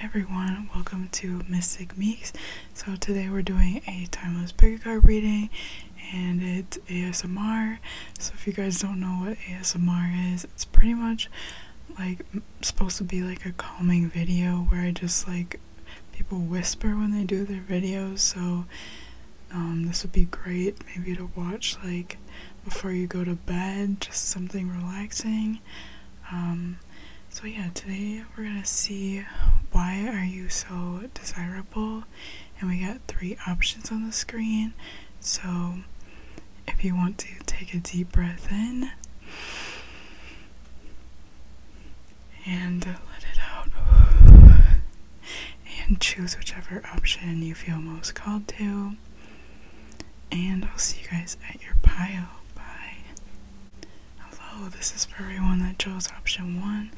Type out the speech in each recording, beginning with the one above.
everyone, welcome to Mystic Meeks. So today we're doing a timeless bigger card reading and it's ASMR. So if you guys don't know what ASMR is, it's pretty much like supposed to be like a calming video where I just like people whisper when they do their videos, so um, this would be great maybe to watch like before you go to bed, just something relaxing. Um, so yeah, today we're gonna see why are you so desirable, and we got three options on the screen. So if you want to take a deep breath in and let it out. And choose whichever option you feel most called to. And I'll see you guys at your pile. Bye. Hello, this is for everyone that chose option one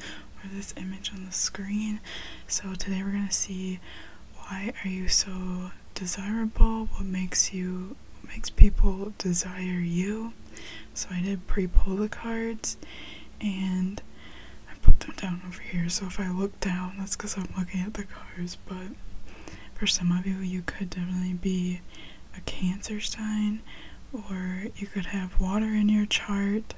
or this image on the screen. So today we're going to see why are you so desirable? What makes you what makes people desire you. So I did pre pull the cards and I put them down over here. So if I look down, that's because I'm looking at the cards. But for some of you, you could definitely be a Cancer sign or you could have water in your chart.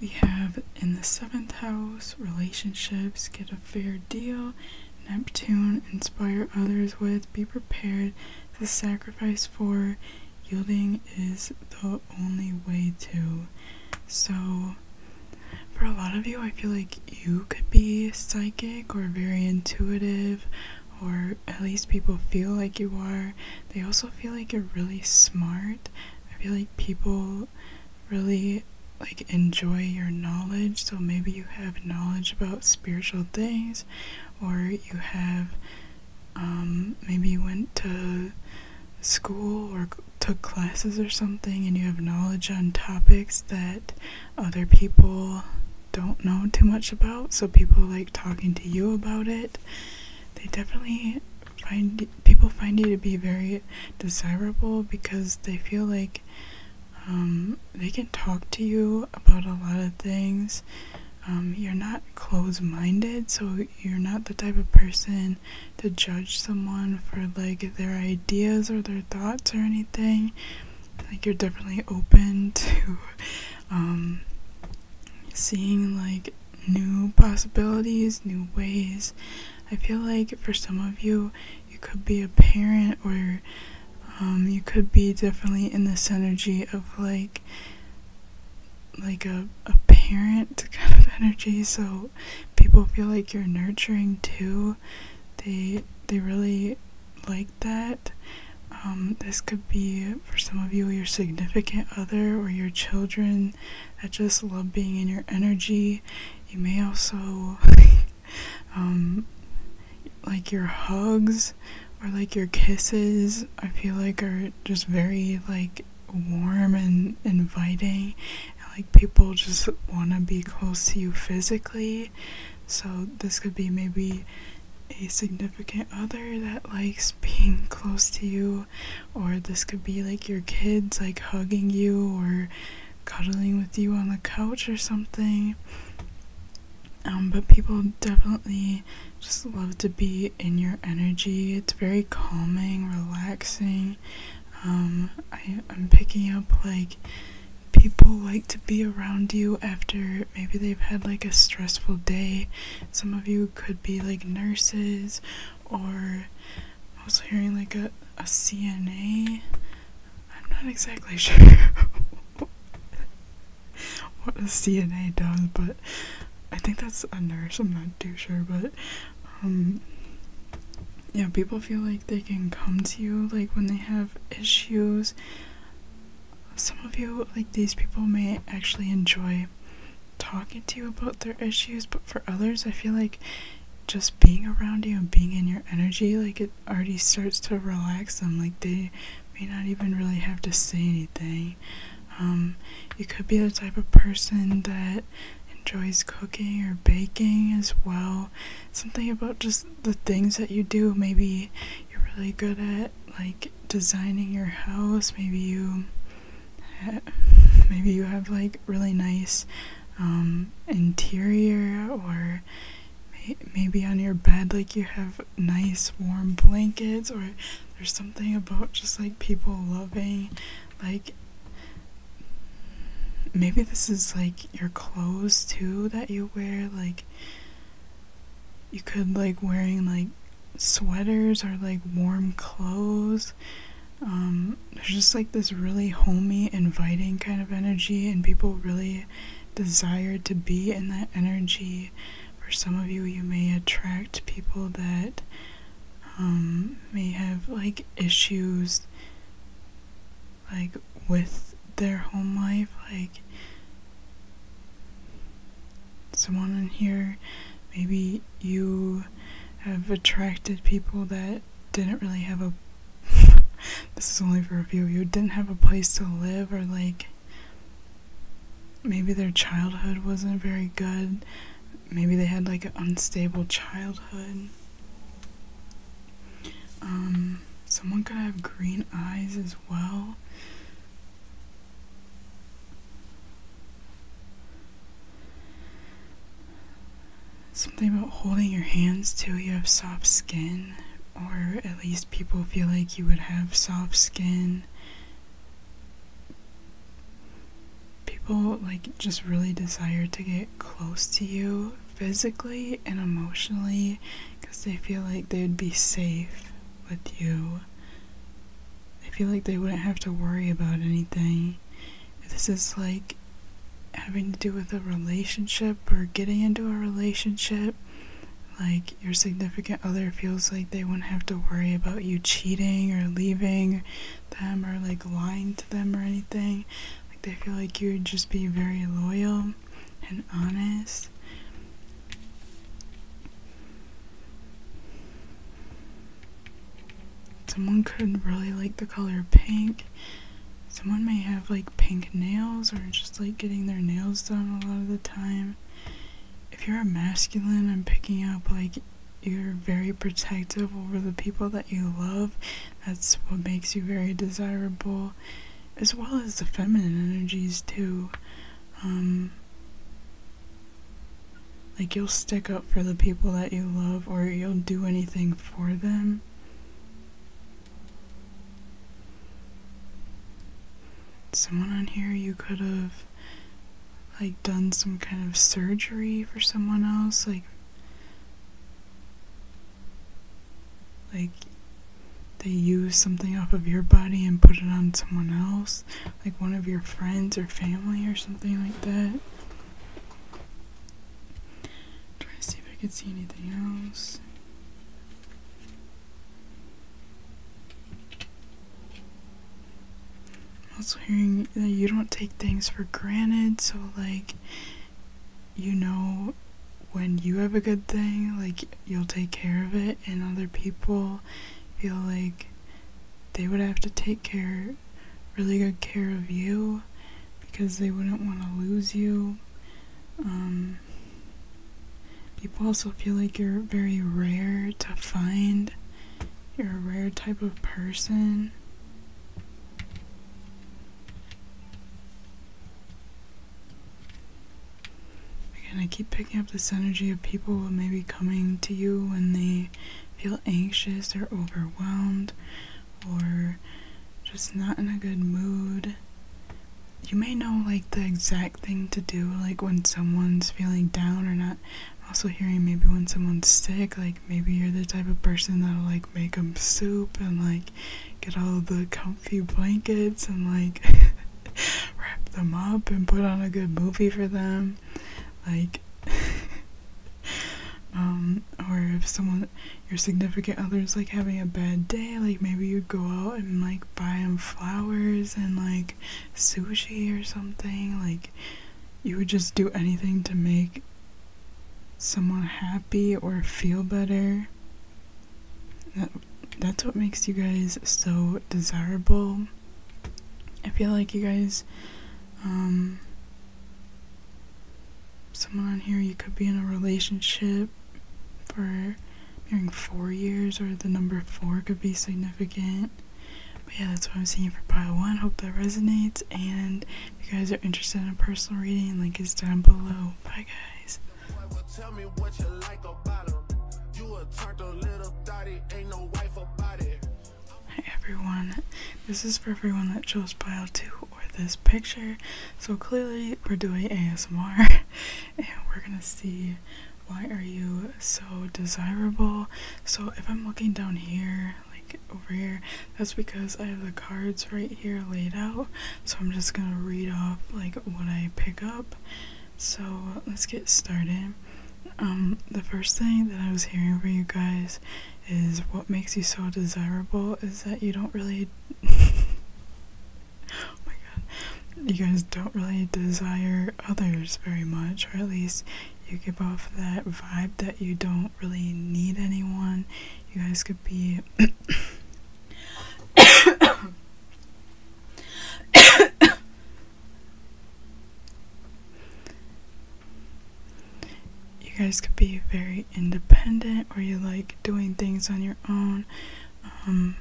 We have in the seventh house relationships, get a fair deal, Neptune, inspire others with, be prepared. The sacrifice for yielding is the only way to. So, for a lot of you, I feel like you could be psychic or very intuitive, or at least people feel like you are. They also feel like you're really smart. I feel like people really like enjoy your knowledge so maybe you have knowledge about spiritual things, or you have um, maybe went to school or took classes or something, and you have knowledge on topics that other people don't know too much about, so people like talking to you about it. They definitely find people find you to be very desirable because they feel like um, they can talk to you about a lot of things. Um, you're not close minded, so you're not the type of person to judge someone for like their ideas or their thoughts or anything. Like, you're definitely open to um, seeing like new possibilities, new ways. I feel like for some of you, you could be a parent or um, you could be definitely in this energy of like like a, a parent kind of energy so people feel like you're nurturing too they they really like that um, this could be for some of you your significant other or your children that just love being in your energy you may also Um, like your hugs or like your kisses i feel like are just very like warm and inviting like people just want to be close to you physically so this could be maybe a significant other that likes being close to you or this could be like your kids like hugging you or cuddling with you on the couch or something um, but people definitely just love to be in your energy. It's very calming, relaxing. Um, I, am picking up like people like to be around you after maybe they've had like a stressful day. Some of you could be like nurses or I'm also hearing like a, a CNA. I'm not exactly sure what a CNA does, but I think that's a nurse. I'm not too sure, but um, yeah, people feel like they can come to you like when they have issues. Some of you, like these people, may actually enjoy talking to you about their issues, but for others, I feel like just being around you and being in your energy, like it already starts to relax them. Like they may not even really have to say anything. Um, you could be the type of person that enjoys cooking or baking as well. Something about just the things that you do. Maybe you're really good at like designing your house. Maybe you maybe you have like really nice um, interior or maybe on your bed like you have nice warm blankets or there's something about just like people loving like maybe this is like your clothes too that you wear like you could like wearing like sweaters or like warm clothes um, there's just like this really homey inviting kind of energy and people really desire to be in that energy. For some of you, you may attract people that um, may have like issues like with their home life. Like someone in here, maybe you have attracted people that didn't really have a this is only for a few who didn't have a place to live or like maybe their childhood wasn't very good. Maybe they had like an unstable childhood. Um, someone could have green eyes as well. Something about holding your hands too, you have soft skin, or at least people feel like you would have soft skin. People like just really desire to get close to you physically and emotionally because they feel like they'd be safe with you. They feel like they wouldn't have to worry about anything. This is like having to do with a relationship or getting into a relationship. Like, your significant other feels like they wouldn't have to worry about you cheating or leaving them or like lying to them or anything. Like they feel like you would just be very loyal and honest. Someone could really like the color pink. Someone may have like pink nails or just like getting their nails done a lot of the time. If you're a masculine, I'm picking up like you're very protective over the people that you love. That's what makes you very desirable, as well as the feminine energies, too. Um, like, you'll stick up for the people that you love, or you'll do anything for them. Someone on here, you could have like done some kind of surgery for someone else, like like they use something off of your body and put it on someone else, like one of your friends or family or something like that. Try to see if I could see anything else also hearing you don't take things for granted, so like you know when you have a good thing, like you'll take care of it, and other people feel like they would have to take care, really good care of you because they wouldn't want to lose you. Um, people also feel like you're very rare to find. You're a rare type of person. Again, I keep picking up this energy of people maybe coming to you when they feel anxious or overwhelmed or just not in a good mood you may know like the exact thing to do like when someone's feeling down or not also hearing maybe when someone's sick like maybe you're the type of person that'll like make them soup and like get all the comfy blankets and like wrap them up and put on a good movie for them like um or if someone your significant other's like having a bad day like maybe you would go out and like buy him flowers and like sushi or something. Like, you would just do anything to make someone happy or feel better. That, that's what makes you guys so desirable. I feel like you guys, um, someone on here, you could be in a relationship for marrying four years or the number four could be significant. But yeah, that's what I'm seeing for pile one. Hope that resonates. And if you guys are interested in a personal reading, link is down below. Bye, guys. Hi, everyone. This is for everyone that chose pile two or this picture. So clearly, we're doing ASMR. and we're gonna see why are you so desirable. So if I'm looking down here, like over here, that's because I have the cards right here laid out. So I'm just gonna read off like what I pick up. So let's get started. Um, the first thing that I was hearing from you guys is what makes you so desirable is that you don't really oh my god. You guys don't really desire others very much, or at least you give off that vibe that you don't really need anyone. You guys could be. you guys could be very independent or you like doing things on your own um,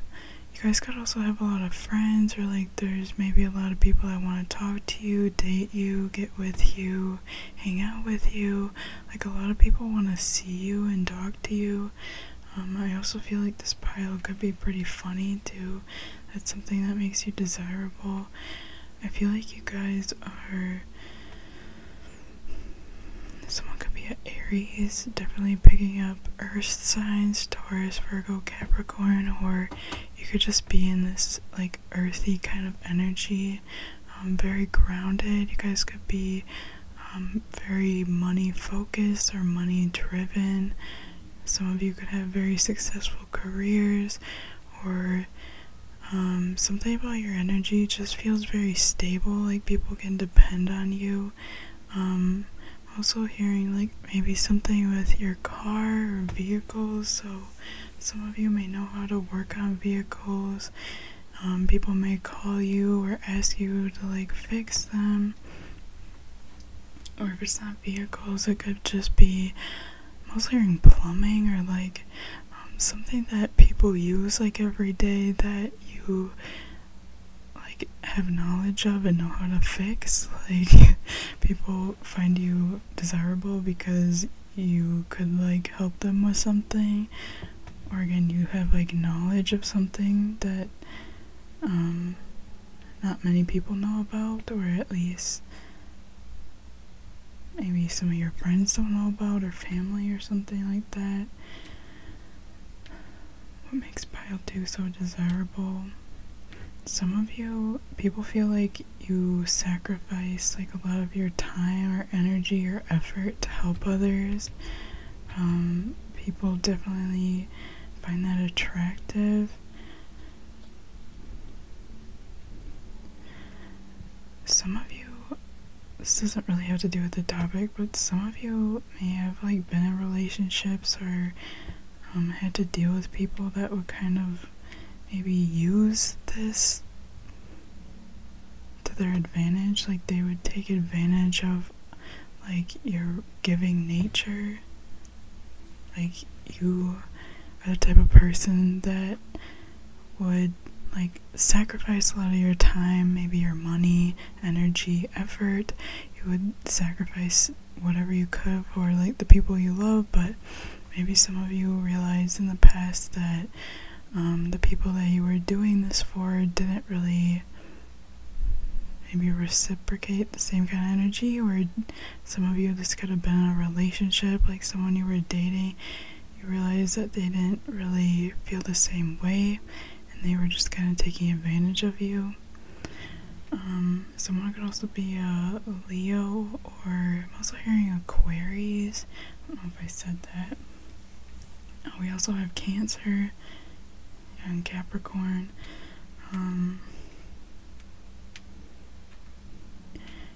you guys could also have a lot of friends, or like there's maybe a lot of people that want to talk to you, date you, get with you, hang out with you. Like a lot of people want to see you and talk to you. Um, I also feel like this pile could be pretty funny too. That's something that makes you desirable. I feel like you guys are. Someone could be an Aries, definitely picking up earth signs, Taurus, Virgo, Capricorn, or you could just be in this like earthy kind of energy, um, very grounded. You guys could be um, very money focused or money driven. Some of you could have very successful careers or um, something about your energy just feels very stable, like people can depend on you also hearing like maybe something with your car or vehicles. So some of you may know how to work on vehicles. Um, people may call you or ask you to like fix them. Or if it's not vehicles, it could just be mostly hearing plumbing or like um, something that people use like every day that you like have knowledge of and know how to fix like people find you desirable because you could like help them with something or again you have like knowledge of something that um not many people know about or at least maybe some of your friends don't know about or family or something like that what makes pile two so desirable? Some of you people feel like you sacrifice like a lot of your time or energy or effort to help others. Um, people definitely find that attractive. Some of you, this doesn't really have to do with the topic, but some of you may have like been in relationships or um, had to deal with people that would kind of maybe use this to their advantage. Like they would take advantage of like your giving nature. Like you are the type of person that would like sacrifice a lot of your time, maybe your money, energy, effort. You would sacrifice whatever you could for like the people you love, but maybe some of you realized in the past that um, the people that you were doing this for didn't really maybe reciprocate the same kind of energy or some of you this could have been a relationship like someone you were dating you realized that they didn't really feel the same way and they were just kind of taking advantage of you. Um, someone could also be a Leo, or I'm also hearing Aquarius. I don't know if I said that. Uh, we also have Cancer and Capricorn. Um,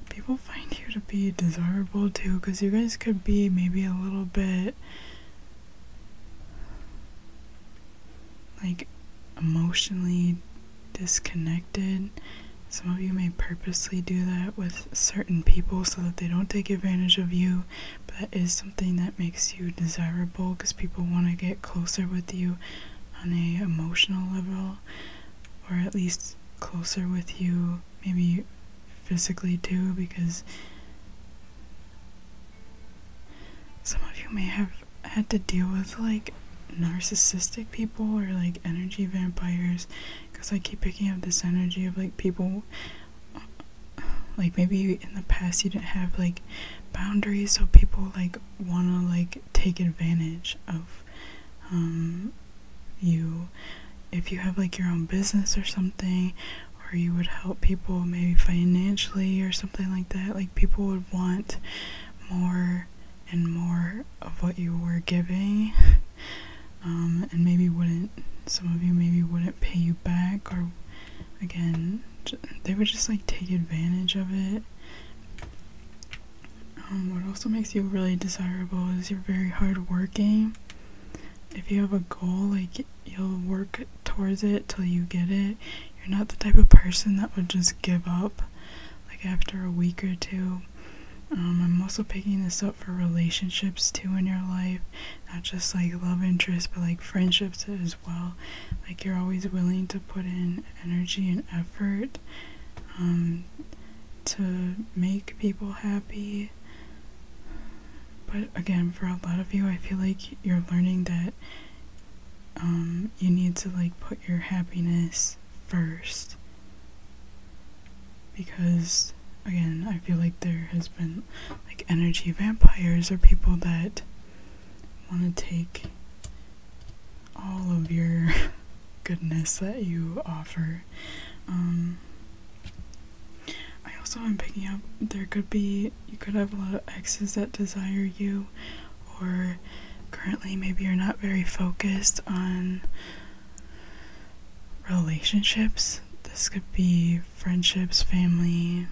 people find you to be desirable too, because you guys could be maybe a little bit like emotionally disconnected. Some of you may purposely do that with certain people so that they don't take advantage of you, but that is something that makes you desirable because people want to get closer with you on a emotional level or at least closer with you maybe physically too because some of you may have had to deal with like narcissistic people or like energy vampires because I keep picking up this energy of like people uh, like maybe in the past you didn't have like boundaries so people like want to like take advantage of um, you if you have like your own business or something or you would help people maybe financially or something like that like people would want more and more of what you were giving um, and maybe wouldn't some of you maybe wouldn't pay you back or again they would just like take advantage of it um, what also makes you really desirable is you're very hardworking if you have a goal like you'll work towards it till you get it. You're not the type of person that would just give up like after a week or two. Um, I'm also picking this up for relationships too in your life, not just like love interests, but like friendships as well. Like you're always willing to put in energy and effort um, to make people happy. But again, for a lot of you, I feel like you're learning that um, you need to like put your happiness first because again i feel like there has been like energy vampires or people that want to take all of your goodness that you offer um, i also am picking up there could be you could have a lot of exes that desire you or currently maybe you're not very focused on relationships. This could be friendships, family,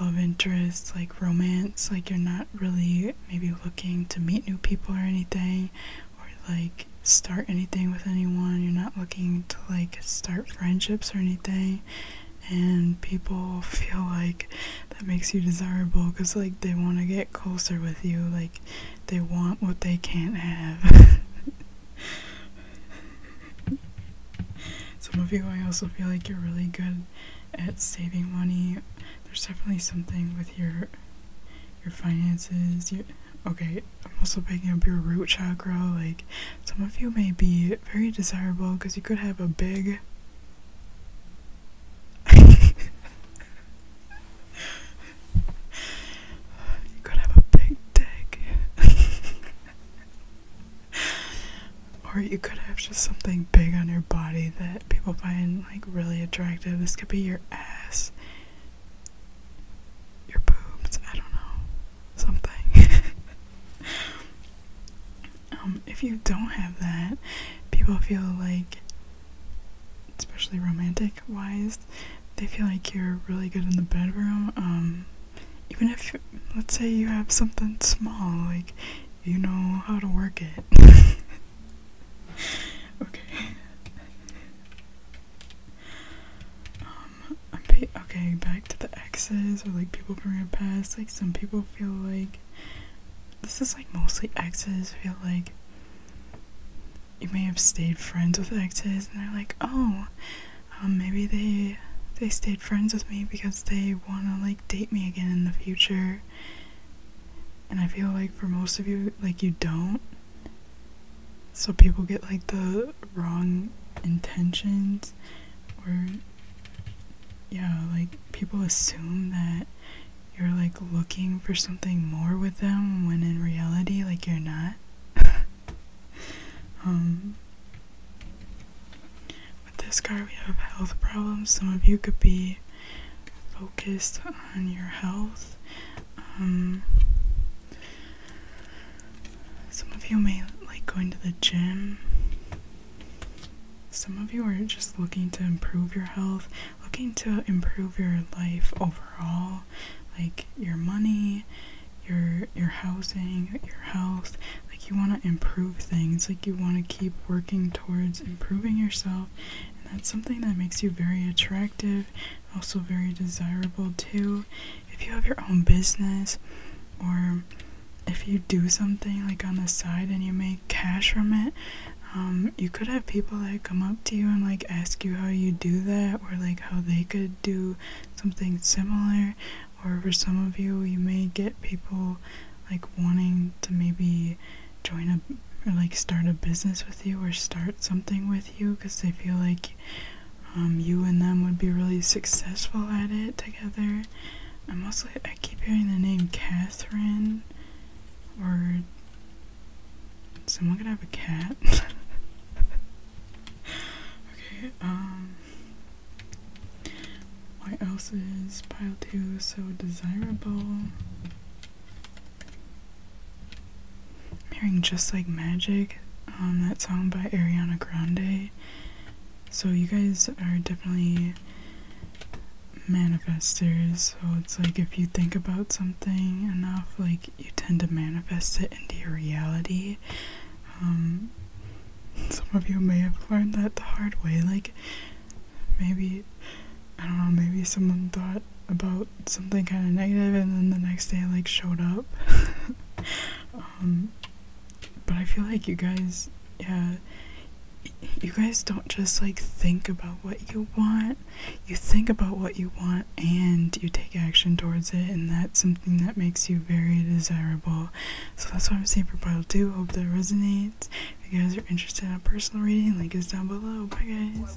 love interests, like romance, like you're not really maybe looking to meet new people or anything, or like start anything with anyone. You're not looking to like start friendships or anything and people feel like that makes you desirable because like they want to get closer with you like they want what they can't have some of you i also feel like you're really good at saving money there's definitely something with your your finances your, okay i'm also picking up your root chakra like some of you may be very desirable because you could have a big you're have a big dick. or you could have just something big on your body that people find like really attractive. This could be your ass, your boobs, I don't know, something. Um, if you don't have that, people feel like, especially romantic wise, they feel like you're really good in the bedroom. Um, even if, let's say, you have something small, like you know how to work it. okay. Um, okay, back to the exes or like people from your past. Like some people feel like this is like mostly exes. I feel like you may have stayed friends with exes, and they're like, oh, um, maybe they they stayed friends with me because they want to like date me again in the future. And I feel like for most of you, like you don't. So people get like the wrong intentions or yeah, like people assume that you're like looking for something more with them when in reality, like, you're not. Um, with this card, we have health problems. Some of you could be focused on your health. Um, some of you may like going to the gym. Some of you are just looking to improve your health, looking to improve your life overall, like your money, your your housing, your health. Like you want to improve things, like you want to keep working towards improving yourself. And that's something that makes you very attractive, also very desirable too. If you have your own business or if you do something like on the side and you make cash from it, um, you could have people that come up to you and like ask you how you do that or like how they could do something similar. Or for some of you, you may get people like wanting to maybe join a or like start a business with you or start something with you because they feel like um, you and them would be really successful at it together I'm also I keep hearing the name Catherine or someone could have a cat. okay, um why else is pile two so desirable? I'm hearing just like magic, um that song by Ariana Grande. So you guys are definitely manifestors. So it's like if you think about something enough, like you tend to manifest it into your reality. Um, some of you may have learned that the hard way. Like maybe, I don't know, maybe someone thought about something kind of negative and then the next day like showed up. Um, but I feel like you guys, yeah, you guys don't just like think about what you want. You think about what you want and you take action towards it, and that's something that makes you very desirable. So that's why I'm saying for Pile 2. Hope that resonates. If you guys are interested in a personal reading, link is down below. Bye, guys.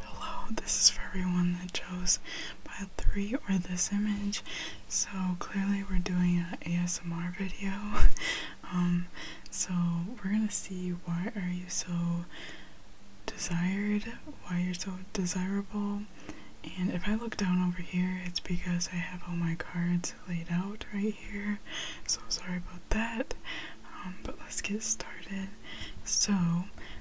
Hello, this is for everyone that chose Pile three or this image so clearly we're doing an asmr video um, so we're gonna see why are you so desired why you're so desirable and if i look down over here it's because i have all my cards laid out right here so sorry about that um, but let's get started so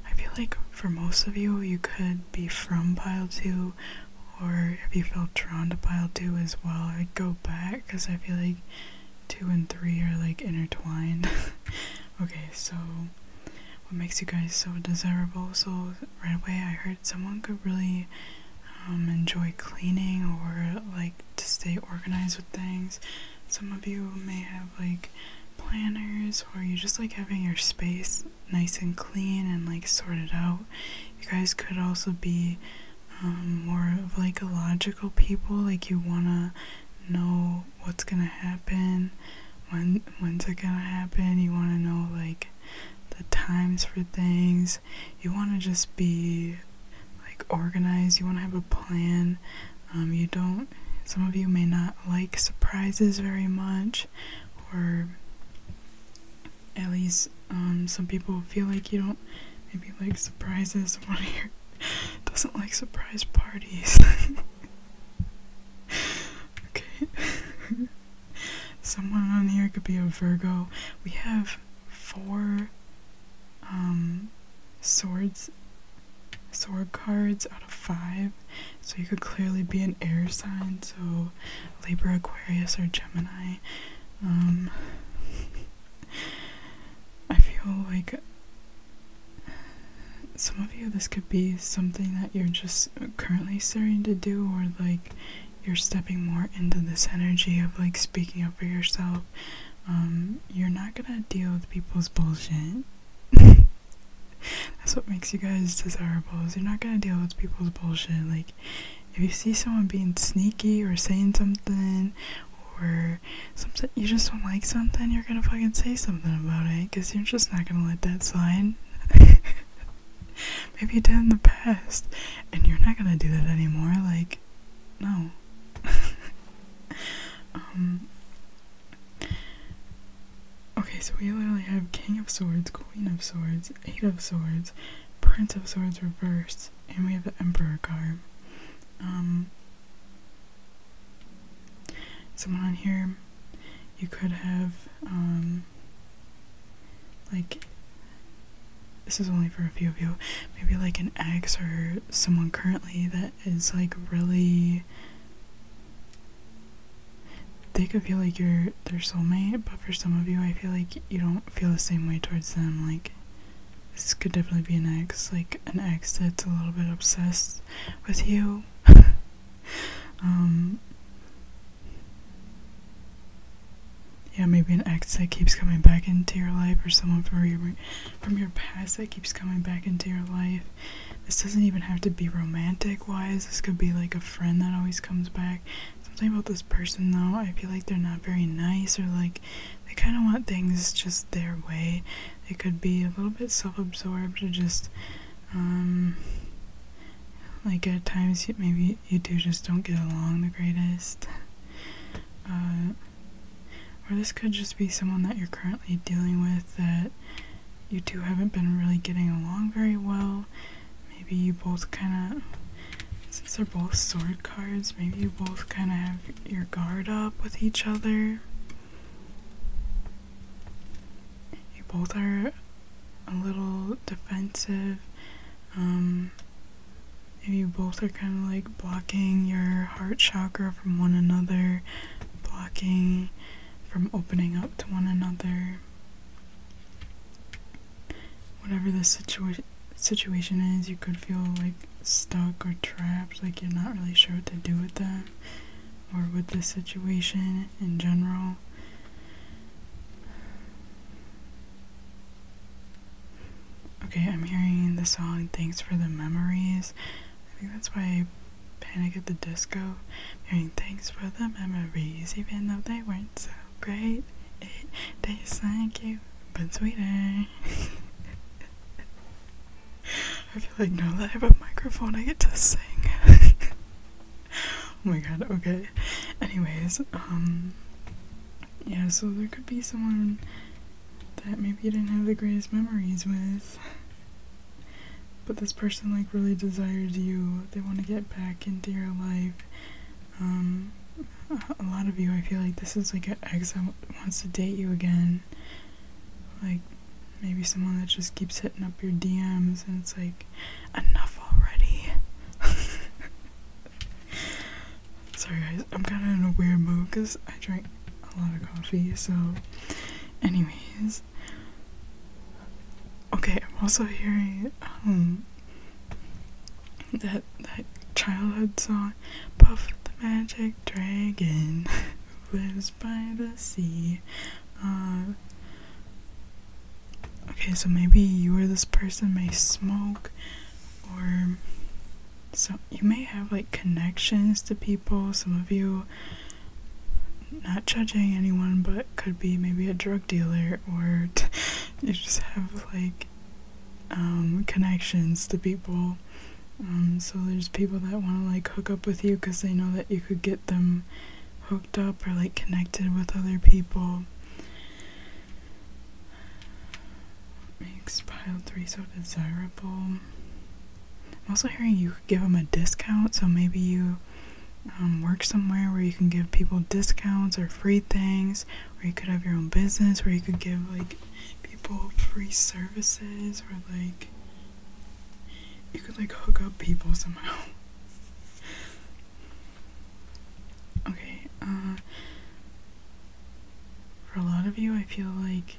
I feel like for most of you, you could be from Pile 2 or if you felt drawn to pile 2 as well I'd go back because I feel like 2 and 3 are like intertwined okay so what makes you guys so desirable so right away I heard someone could really um, enjoy cleaning or like to stay organized with things some of you may have like planners or you just like having your space nice and clean and like sorted out. You guys could also be um, more of like a logical people, like you wanna know what's gonna happen, when when's it gonna happen. You wanna know like the times for things. You wanna just be like organized. You wanna have a plan. Um, you don't. Some of you may not like surprises very much, or at least um, some people feel like you don't maybe like surprises. One here doesn't like surprise parties. okay. Someone on here could be a Virgo. We have four um, swords, sword cards out of five. So you could clearly be an air sign, so Libra, Aquarius, or Gemini. Um, I feel like some of you, this could be something that you're just currently starting to do, or like you're stepping more into this energy of like speaking up for yourself. Um, you're not gonna deal with people's bullshit. That's what makes you guys desirable is you're not gonna deal with people's bullshit. Like if you see someone being sneaky or saying something or something you just don't like something, you're gonna fucking say something about it because you're just not gonna let that slide. Maybe you did in the past and you're not gonna do that anymore, like no. um Okay, so we literally have King of Swords, Queen of Swords, Eight of Swords, Prince of Swords reversed, and we have the Emperor card. Um, someone on here, you could have, um, like, this is only for a few of you, maybe like an ex or someone currently that is like really they could feel like you're their soulmate, but for some of you, I feel like you don't feel the same way towards them. Like, this could definitely be an ex, like an ex that's a little bit obsessed with you. Um, yeah, maybe an ex that keeps coming back into your life, or someone from your from your past that keeps coming back into your life. This doesn't even have to be romantic wise. This could be like a friend that always comes back Something about this person though, I feel like they're not very nice or like they kind of want things just their way. They could be a little bit self absorbed or just, um, like at times you, maybe you two just don't get along the greatest. Uh, or this could just be someone that you're currently dealing with that you two haven't been really getting along very well maybe you both kind of, since they're both sword cards, maybe you both kind of have your guard up with each other. You both are a little defensive. Um, maybe you both are kind of like blocking your heart chakra from one another, blocking from opening up to one another whatever the situa situation is, you could feel like stuck or trapped, like you're not really sure what to do with them or with the situation in general. Okay, I'm hearing the song Thanks for the Memories. I think that's why Panic at the Disco. i hearing Thanks for the Memories, even though they weren't so. Great, it tastes like you, but sweeter. I feel like now that I have a microphone, I get to sing. oh my god, okay. Anyways, um, yeah, so there could be someone that maybe you didn't have the greatest memories with. But this person, like, really desires you. They want to get back into your life. Um, a lot of you, I feel like this is like an ex wants to date you again. Like, maybe someone that just keeps hitting up your DMs and it's like, enough already. Sorry guys, I'm kind of in a weird mood because I drink a lot of coffee, so, anyways. Okay, I'm also hearing, um, that that childhood song, Puff the Magic Dragon lives by the sea. Uh, okay, so maybe you or this person may smoke, or so you may have like connections to people. Some of you, not judging anyone, but could be maybe a drug dealer or you just have like um, connections to people. Um, so there's people that want to like hook up with you because they know that you could get them hooked up or like connected with other people. makes pile three so desirable? I'm also hearing you could give them a discount, so maybe you um, work somewhere where you can give people discounts or free things, or you could have your own business, where you could give like people free services, or like you could like hook up people somehow. okay, uh, for a lot of you, I feel like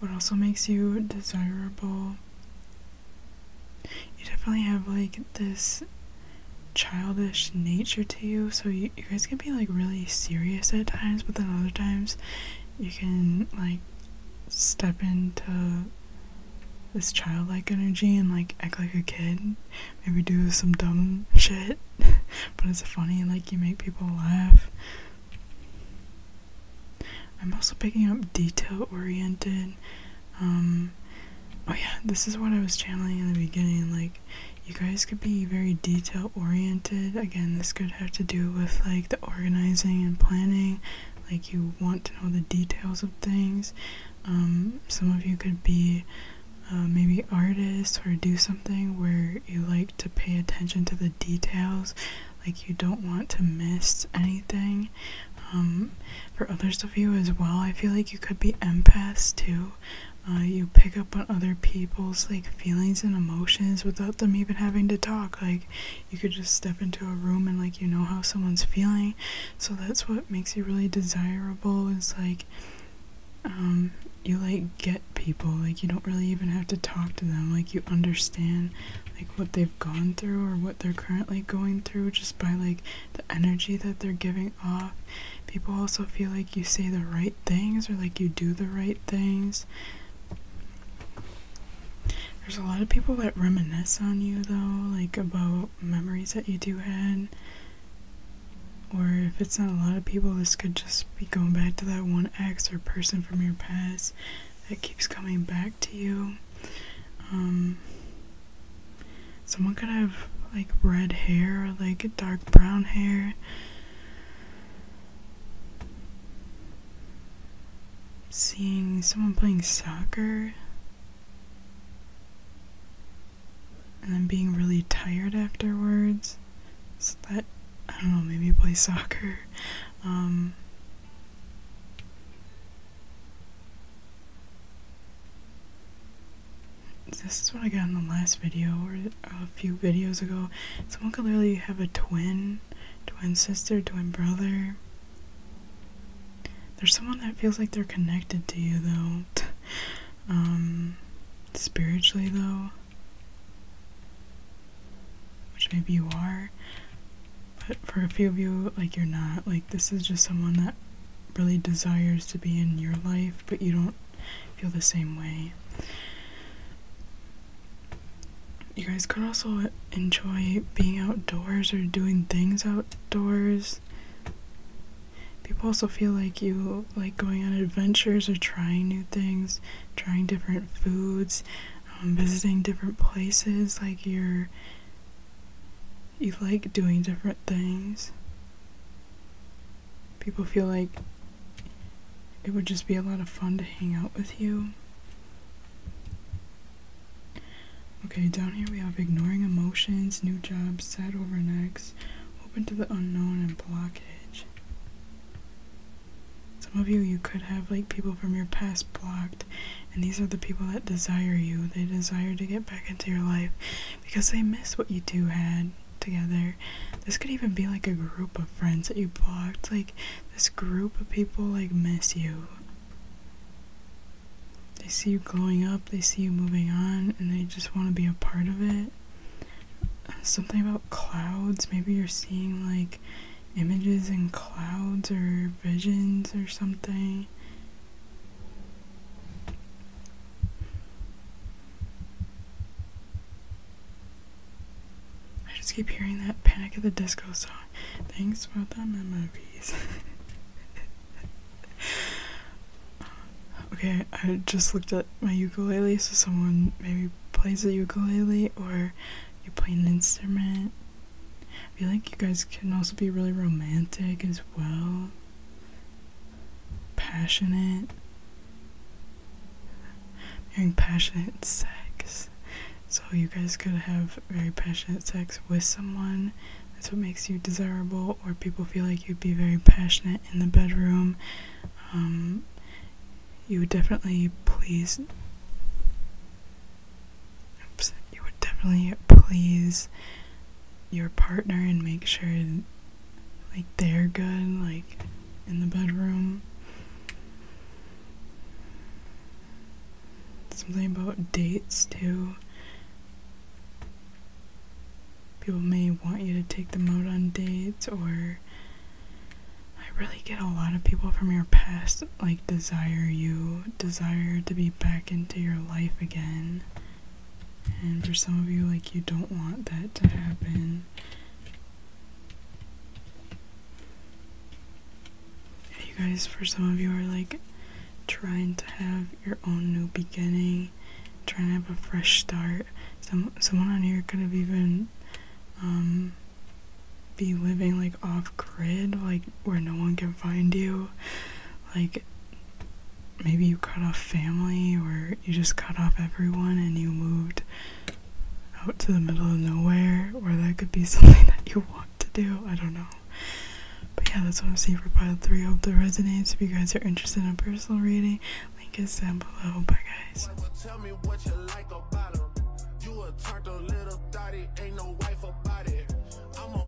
what also makes you desirable you definitely have like this childish nature to you so you, you guys can be like really serious at times but then other times you can like step into this childlike energy and like act like a kid maybe do some dumb shit but it's funny like you make people laugh i'm also picking up detail oriented um, oh yeah, this is what I was channeling in the beginning. Like, you guys could be very detail oriented. Again, this could have to do with like the organizing and planning. Like, you want to know the details of things. Um, some of you could be uh, maybe artists or do something where you like to pay attention to the details. Like, you don't want to miss anything. Um, for others of you as well. I feel like you could be empath too. Uh, you pick up on other people's like feelings and emotions without them even having to talk. Like you could just step into a room and like you know how someone's feeling. So that's what makes you really desirable is like um, you like get people. Like you don't really even have to talk to them. Like you understand like what they've gone through or what they're currently going through just by like the energy that they're giving off. People also feel like you say the right things or like you do the right things. There's a lot of people that reminisce on you though, like about memories that you do had. Or if it's not a lot of people, this could just be going back to that one ex or person from your past that keeps coming back to you. Um, someone could have like red hair, like dark brown hair. Seeing someone playing soccer and then being really tired afterwards. So that I don't know, maybe play soccer. Um, this is what I got in the last video or a few videos ago. Someone could literally have a twin, twin sister, twin brother. There's someone that feels like they're connected to you though. Um, spiritually though. Which maybe you are. But for a few of you, like you're not. Like this is just someone that really desires to be in your life, but you don't feel the same way. You guys could also enjoy being outdoors or doing things outdoors. People also feel like you like going on adventures or trying new things, trying different foods, um, visiting different places. Like you're you like doing different things. People feel like it would just be a lot of fun to hang out with you. Okay, down here we have ignoring emotions, new job, sad over next, open to the unknown, and blockage. Some of you, you could have like people from your past blocked and these are the people that desire you. They desire to get back into your life because they miss what you two had together. This could even be like a group of friends that you blocked. Like, this group of people, like, miss you. They see you growing up, they see you moving on, and they just want to be a part of it. Something about clouds. Maybe you're seeing, like, images in clouds or visions or something. I just keep hearing that Panic at the Disco song. Thanks for the memories. okay, I just looked at my ukulele, so someone maybe plays a ukulele or you play an instrument. I feel like you guys can also be really romantic as well. Passionate. Having passionate sex. So you guys could have very passionate sex with someone. That's what makes you desirable, or people feel like you'd be very passionate in the bedroom. Um, you would definitely please Oops. You would definitely please your partner and make sure like they're good like in the bedroom. Something about dates too. People may want you to take them out on dates or I really get a lot of people from your past like desire you desire to be back into your life again. And for some of you, like, you don't want that to happen. you guys, for some of you, are like trying to have your own new beginning, trying to have a fresh start. Some someone on here could have even um, be living like off grid, like where no one can find you, like maybe you cut off family or you just cut off everyone and you moved out to the middle of nowhere or that could be something that you want to do i don't know but yeah that's what i'm seeing for pile 3 hope that resonates if you guys are interested in a personal reading link is down below bye guys